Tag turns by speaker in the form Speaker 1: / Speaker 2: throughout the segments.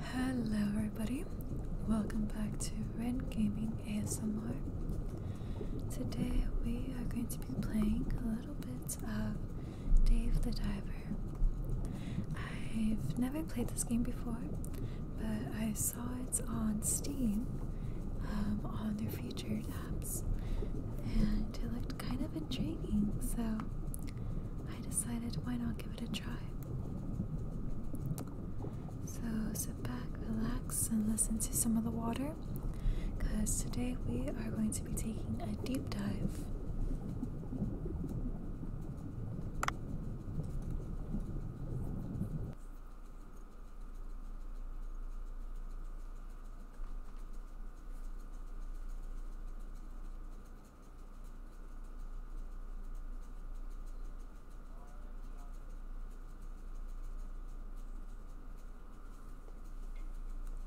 Speaker 1: Hello, everybody. Welcome back to Red Gaming ASMR. Today we are going to be playing a little bit of Dave the Diver. I've never played this game before, but I saw it on Steam um, on their featured apps, and it looked kind of intriguing. So I decided why not give it a try. So sit back, relax, and listen to some of the water because today we are going to be taking a deep dive.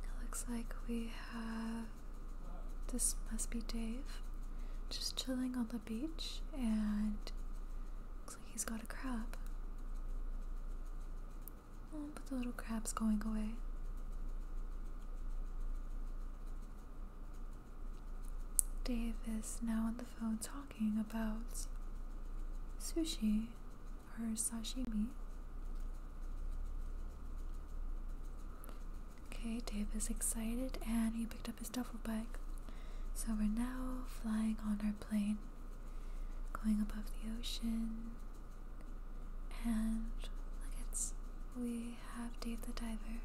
Speaker 1: It looks like we have. This must be Dave. Just chilling on the beach, and looks like he's got a crab. Oh, the little crab's going away. Dave is now on the phone talking about sushi or sashimi. Okay, Dave is excited and he picked up his duffel bag. So we're now flying on our plane, going above the ocean, and look, it's we have Dave the Diver.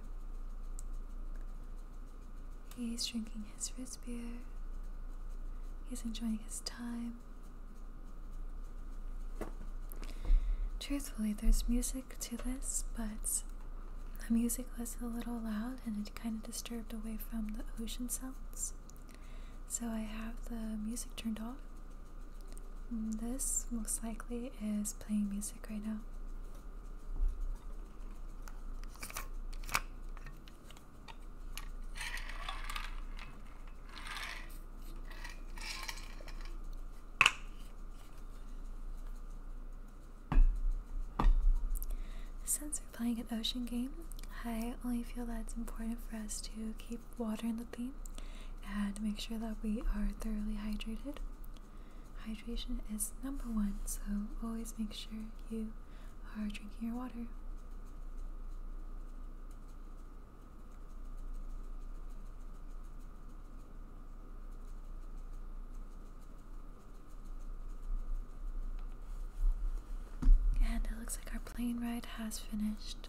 Speaker 1: He's drinking his wrist beer. He's enjoying his time. Truthfully, there's music to this, but the music was a little loud and it kind of disturbed away from the ocean sounds. So I have the music turned off Mm, this most likely is playing music right now. Since we're playing an ocean game, I only feel that it's important for us to keep water in the plane, and make sure that we are thoroughly hydrated. Hydration is number one, so always make sure you are drinking your water. And it looks like our plane ride has finished.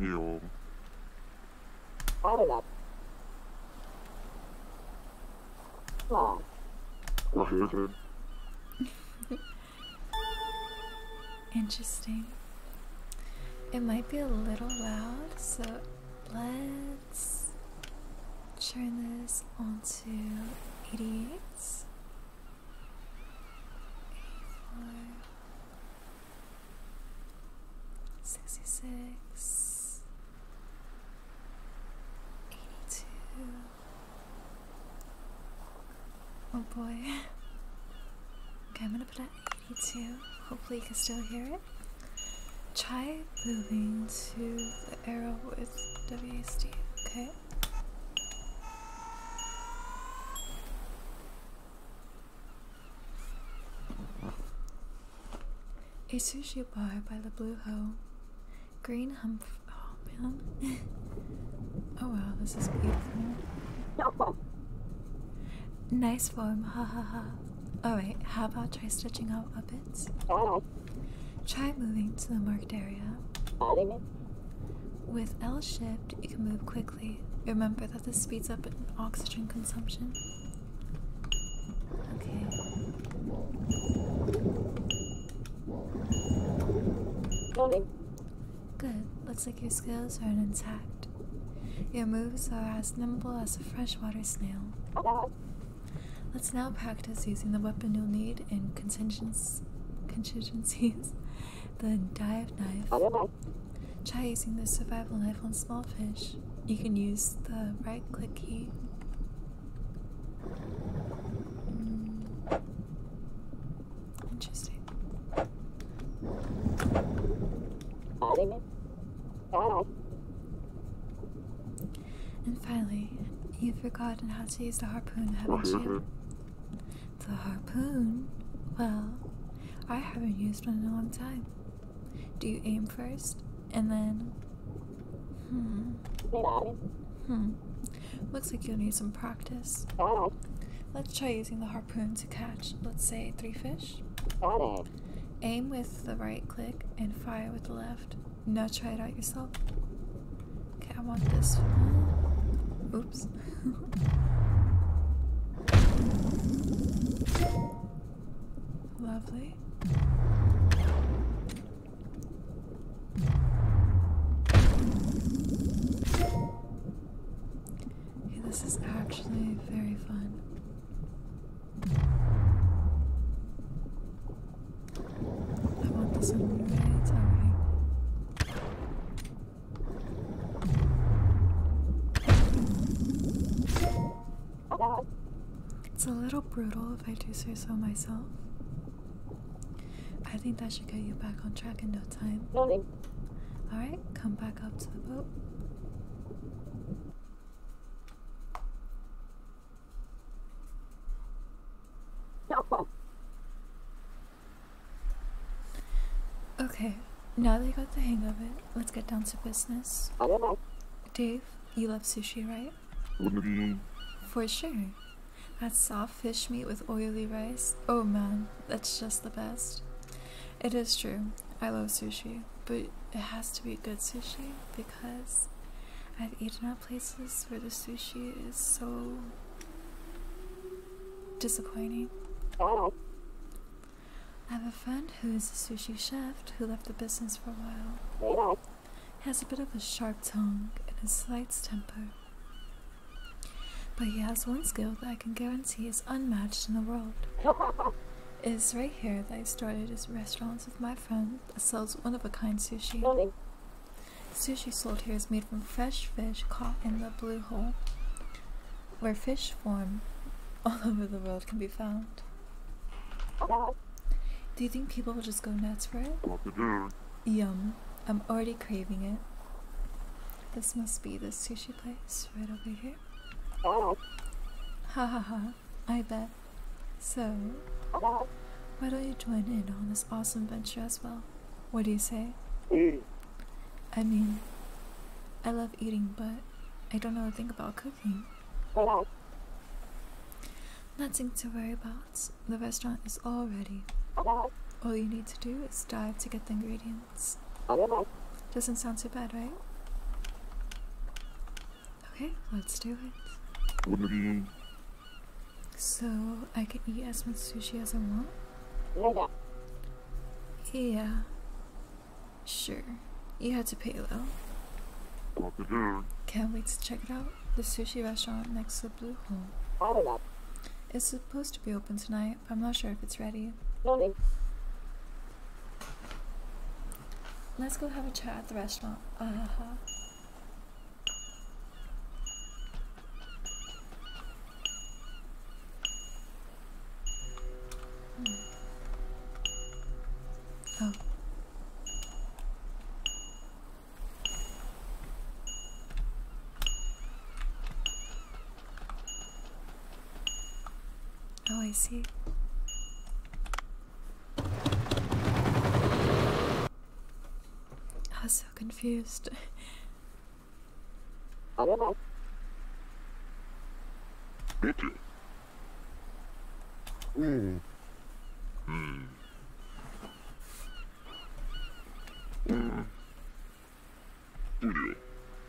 Speaker 1: Yo. Hold up. Long. Interesting. It might be a little loud, so let's turn this onto 88. 84. Oh boy. okay, I'm gonna put it at 82. Hopefully you can still hear it. Try moving to the arrow with WASD. Okay. A sushi bar by the Blue Hole. Green hump. Oh man. oh wow, this is beautiful. Nice foam. ha ha ha. Alright, how about try stitching out Muppets. Oh. Try moving to the marked area. With L shift, you can move quickly. Remember that this speeds up oxygen consumption. Okay. Good. Looks like your skills are intact. Your moves are as nimble as a freshwater snail. Uh-huh. Let's now practice using the weapon you'll need in contingencies the dive knife. Try using the survival knife on small fish. You can use the right click key. Hmm. Interesting. And finally, you've forgotten how to use the harpoon, haven't you? The harpoon? Well, I haven't used one in a long time. Do you aim first? And then. Hmm. Hmm. Looks like you'll need some practice. Let's try using the harpoon to catch, let's say, three fish. Aim with the right click and fire with the left. Now try it out yourself. Okay, I want this one. Oops. Lovely. this is actually very fun. I want this one away. It's a little brutal if I do say so myself. I think that should get you back on track in no time. Alright, come back up to the boat. No. Okay, now that you got the hang of it, let's get down to business. Dave, you love sushi, right? For sure. That soft fish meat with oily rice, oh man, that's just the best. It is true, I love sushi, but it has to be good sushi because I've eaten at places where the sushi is so disappointing. Oh. I have a friend who is a sushi chef who left the business for a while. He has a bit of a sharp tongue and a slight temper. But he has one skill that I can guarantee is unmatched in the world. Is right here that I started his restaurant with my friend that sells one-of-a-kind sushi. Sushi sold here is made from fresh fish caught in the blue hole, where fish form all over the world can be found. Do you think people will just go nuts for it? Yum. I'm already craving it. This must be the sushi place right over here. Oh. Ha ha ha. I bet. So, why don't you join in on this awesome venture as well? What do you say? Mm. I mean, I love eating, but I don't know a thing about cooking. Hello. Nothing to worry about. The restaurant is all ready. Hello. All you need to do is dive to get the ingredients. Hello. Doesn't sound too bad, right? Okay, let's do it. So I can eat as much sushi as I want? Yeah. Sure. You had to pay though. Can't wait to check it out. The sushi restaurant next to the Blue Hole. It's supposed to be open tonight, but I'm not sure if it's ready. Let's go have a chat at the restaurant. Uh uh-huh. huh. Hmm. Oh. Oh, I see. I was so confused. Bitte. Mm. Mm. Mm. Mm.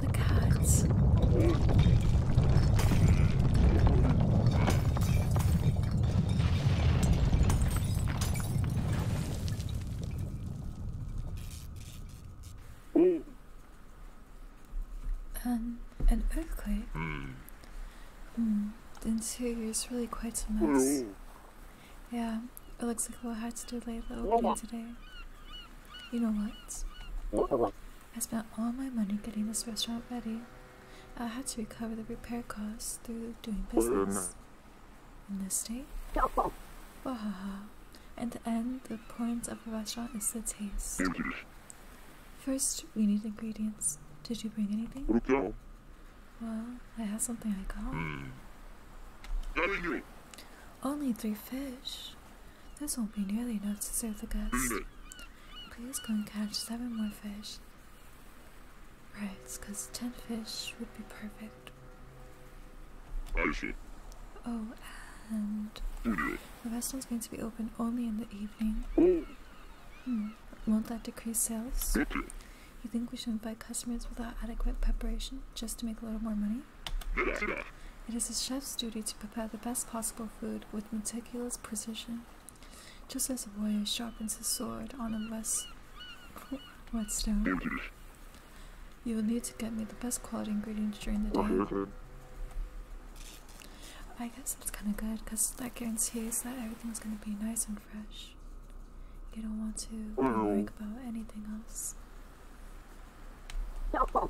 Speaker 1: the cats. Um, an earthquake? Hmm, the interior is really quite a mess. Yeah, it looks like we'll have to delay the opening today. You know what? I spent all my money getting this restaurant ready. I had to recover the repair costs through doing oh, business. In this state? Wahaha. At the end, the point of a restaurant is the taste. First, we need ingredients. Did you bring anything? Well, I have something I got. Hmm. Only three fish. This won't be nearly enough to serve the guests. Please go and catch seven more fish. Right, because ten fish would be perfect. I see. Oh, and the restaurant's going to be open only in the evening. Oh. Hmm. Won't that decrease sales? You think we should invite customers without adequate preparation just to make a little more money? It is a chef's duty to prepare the best possible food with meticulous precision. Just as a warrior sharpens his sword on a less stone. you will need to get me the best quality ingredients during the day. I guess that's kind of good because that guarantees that everything is going to be nice and fresh. You don't want to worry mm. about anything else. Okay,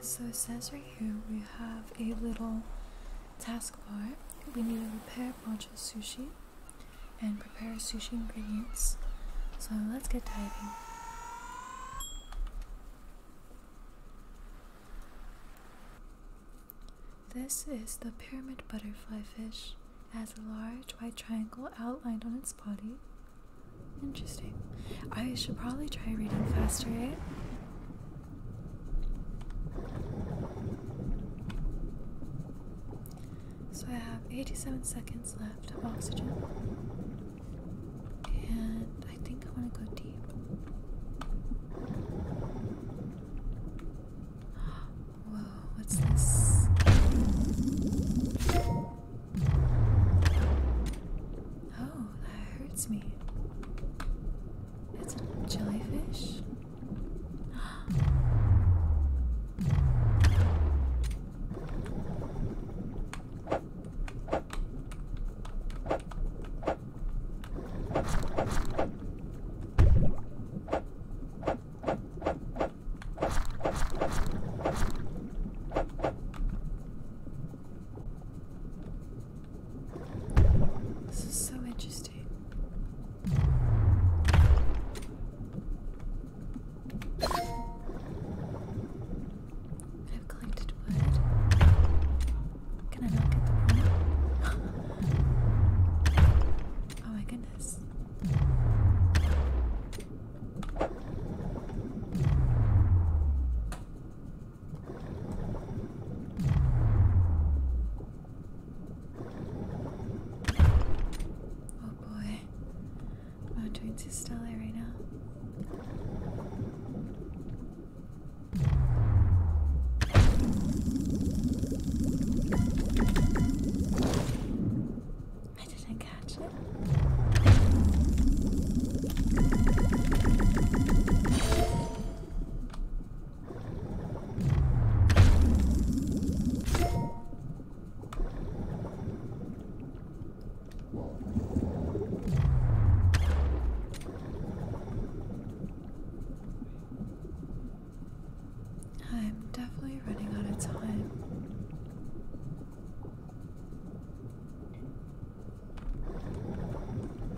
Speaker 1: so it says right here we have a little task bar. We need to repair bunch of sushi and prepare sushi ingredients. So let's get diving. This is the pyramid butterfly fish. has a large white triangle outlined on its body. Interesting. I should probably try reading faster, right? Eh? So I have 87 seconds left of oxygen. And I think I want to go deep. Whoa, what's this? Oh, that hurts me. It's a jellyfish. This is so interesting. I've collected wood. Can I not get the point? oh my goodness. Oh, boy. I'm not doing too stellar right now. I didn't catch it. I'm definitely running out of time.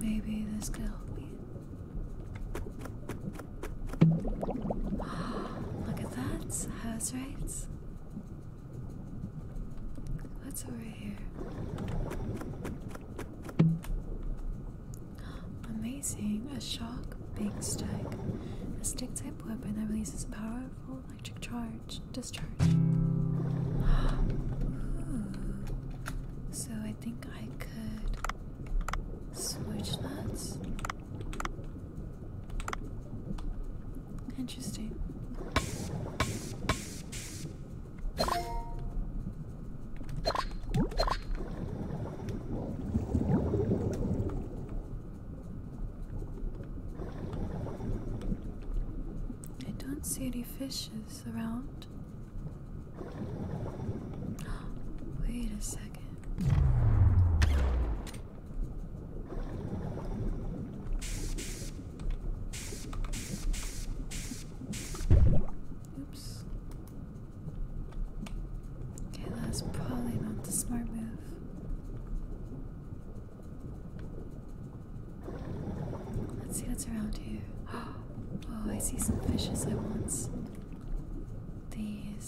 Speaker 1: Maybe this could help me. Look at that. House rights. What's over here? Amazing. A shark big stick. A stick type weapon that releases powerful electric charge. Discharge. So I think I could switch that. Interesting. I don't see any fishes around. Wait a second. Oops. Okay, that's probably not the smart move. Let's see what's around here. Oh, I see some fishes I want These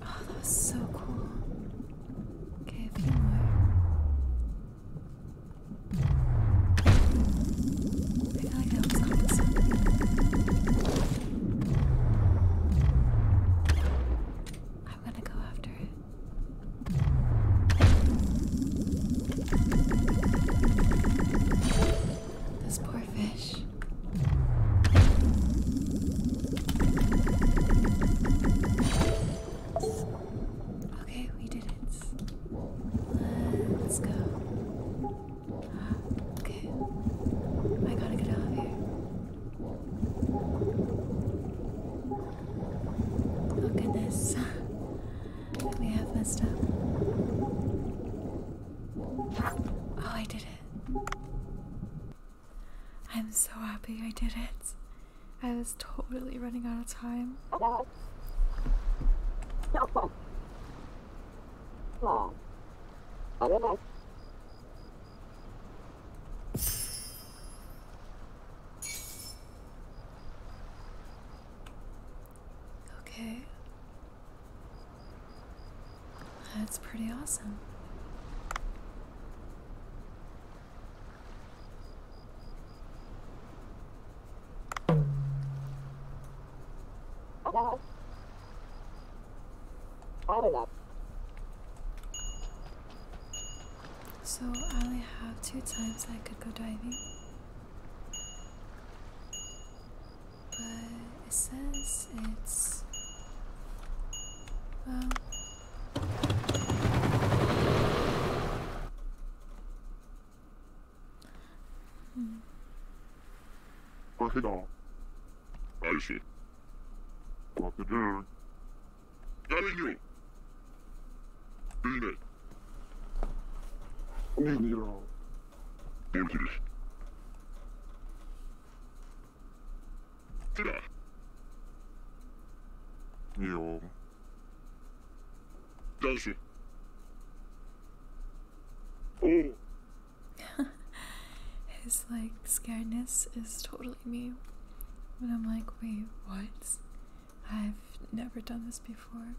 Speaker 1: Oh, that was so cool. Okay, a few more. I feel like I was on I'm gonna go after it. This poor fish. Okay, we did it. Let's go. Okay, I gotta get out of here. Oh goodness, we have messed up. Oh, I did it. I'm so happy I did it. I was totally running out of time. Okay. That's pretty awesome. So I only have two times I could go diving but it says it's well hmm. crocodile Icy crocodile getting you beat it Leave me alone. Empty Yo. Дальше. Oh. His like scaredness is totally me. When I'm like, wait, what? I've never done this before.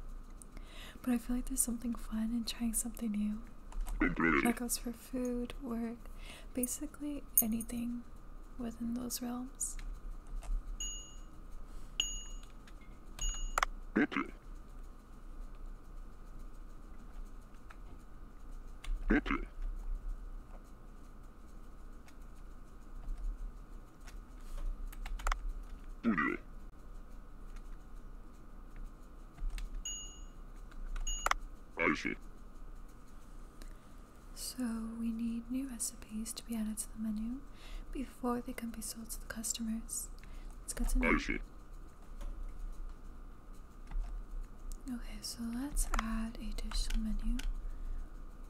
Speaker 1: But I feel like there's something fun in trying something new. That goes for food, work, basically anything within those realms. I So, we need new recipes to be added to the menu before they can be sold to the customers. Let's get to know. I see. Okay, so let's add a dish to the menu.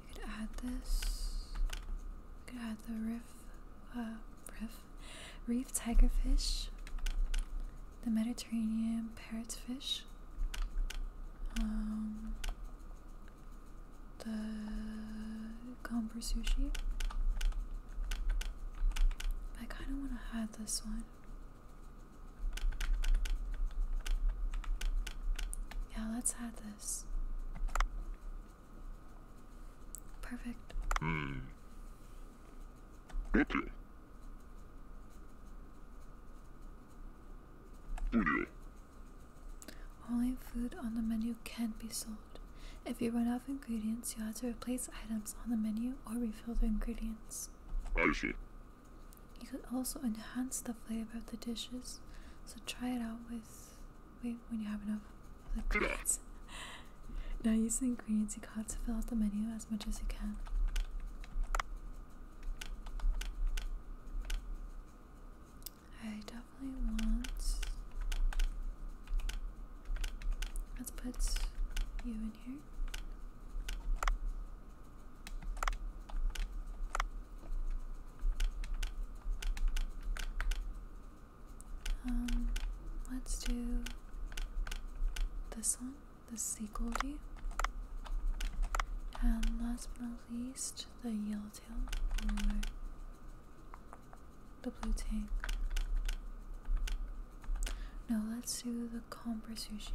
Speaker 1: We could add this. We could add the riff, uh, riff reef tigerfish, the Mediterranean parrotfish, um, the gomber sushi. I kind of want to hide this one. Yeah, let's add this. Perfect. Hmm. Okay. Studio. Only food on the menu can be sold. If you run out of ingredients, you have to replace items on the menu or refill the ingredients. I see. You could also enhance the flavor of the dishes, so try it out with. Wait, when you have enough now use the ingredients you caught to fill out the menu as much as you can. I definitely want. Let's put you in here. Um, let's do this one, the sea goldie. And last but not least, the yellowtail or the blue tail. No, let's do the comber sushi.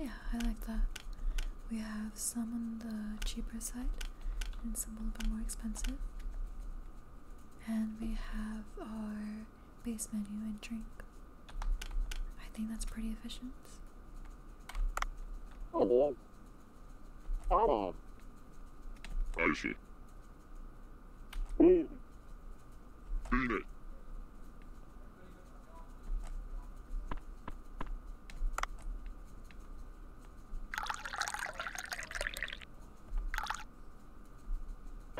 Speaker 1: Yeah, I like that. We have some on the cheaper side and some a little bit more expensive. And we have our base menu and drink. I think that's pretty efficient. Oh, oh. I Oh. Beat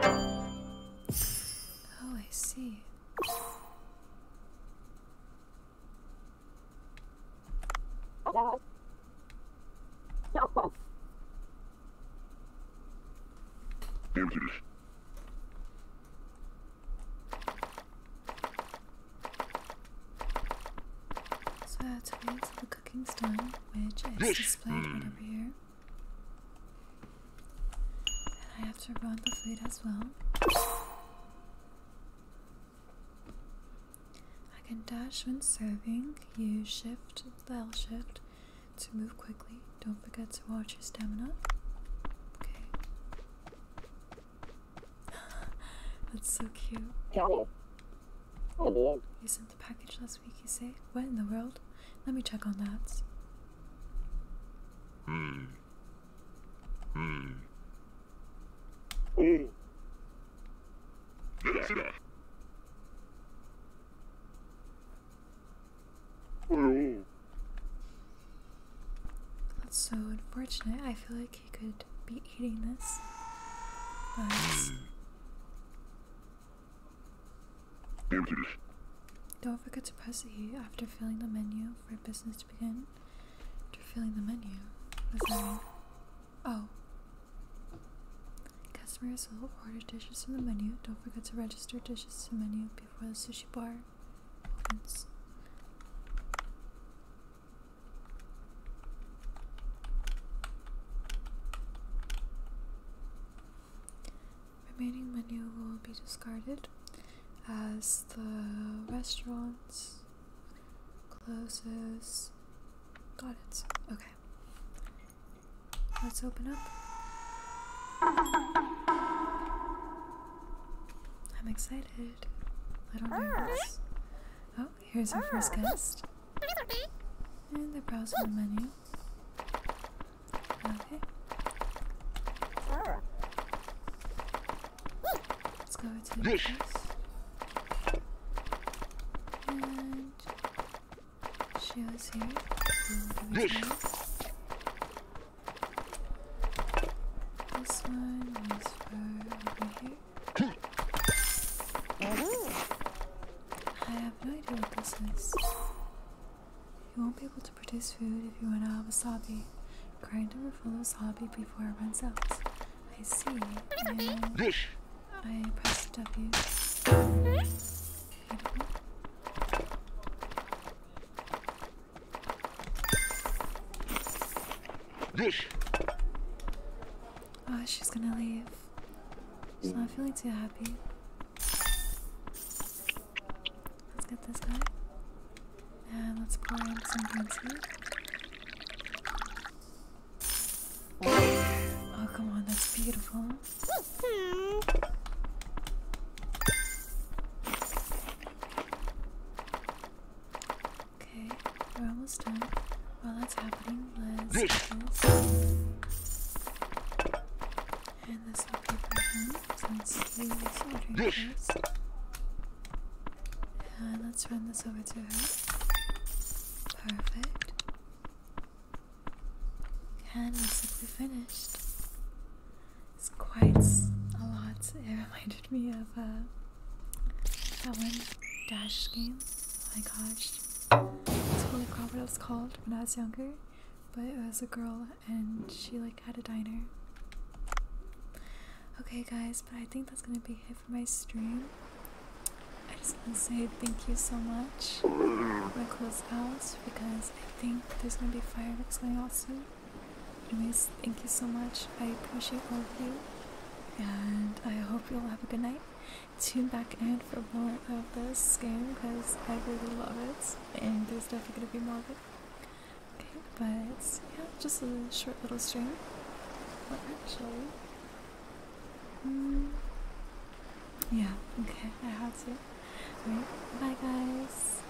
Speaker 1: Oh, I see. Emptiness. So to wait till the cooking's done, which is displayed right mm. over here. And I have to run the food as well. I can dash when serving. Use shift, L shift to move quickly. Don't forget to watch your stamina. Okay. That's so cute. Oh, you sent the package last week, you say? What in the world? Let me check on that. Hmm. Hmm. Oh. That's so unfortunate. I feel like he could be eating this, don't forget to press E after filling the menu for business to begin. After filling the menu, Oh. Customers will order dishes from the menu. Don't forget to register dishes to the menu before the sushi bar opens. Remaining menu will be discarded as the restaurant closes. Got it. Okay. Let's open up. I'm excited. I don't know this. Ah. Oh, here's our first ah, guest. And they're browsing the menu. Okay. Let's go to this. And this one is for over here. I have no idea what this is. You won't be able to produce food if you run out of wasabi. Grind over full of wasabi before it runs out. I see. I press W. Beautiful. Hmm? Dush. Oh, she's gonna leave. She's not feeling too happy. Let's get this guy. And let's pour in some green tea. Oh, come on, that's beautiful. Okay, we're almost done. While that's happening, let's And this will be him since he was ordering And let's run this over to her. Perfect. And basically finished. It's quite a lot. It reminded me of uh, that one dash game. Oh my gosh. I totally forgot what it was called when I was younger. But it was a girl and she like had a diner. Okay guys, but I think that's gonna be it for my stream. I just wanna say thank you so much. I'm close out because I think there's gonna be fireworks going off soon. Anyways, thank you so much. I appreciate all of you, and I hope you all have a good night. Tune back in for more of this game because I really love it, and there's definitely gonna be more of it. Okay, but yeah, just a short little stream. actually, hmm, yeah, okay, I have to. Alright, bye guys.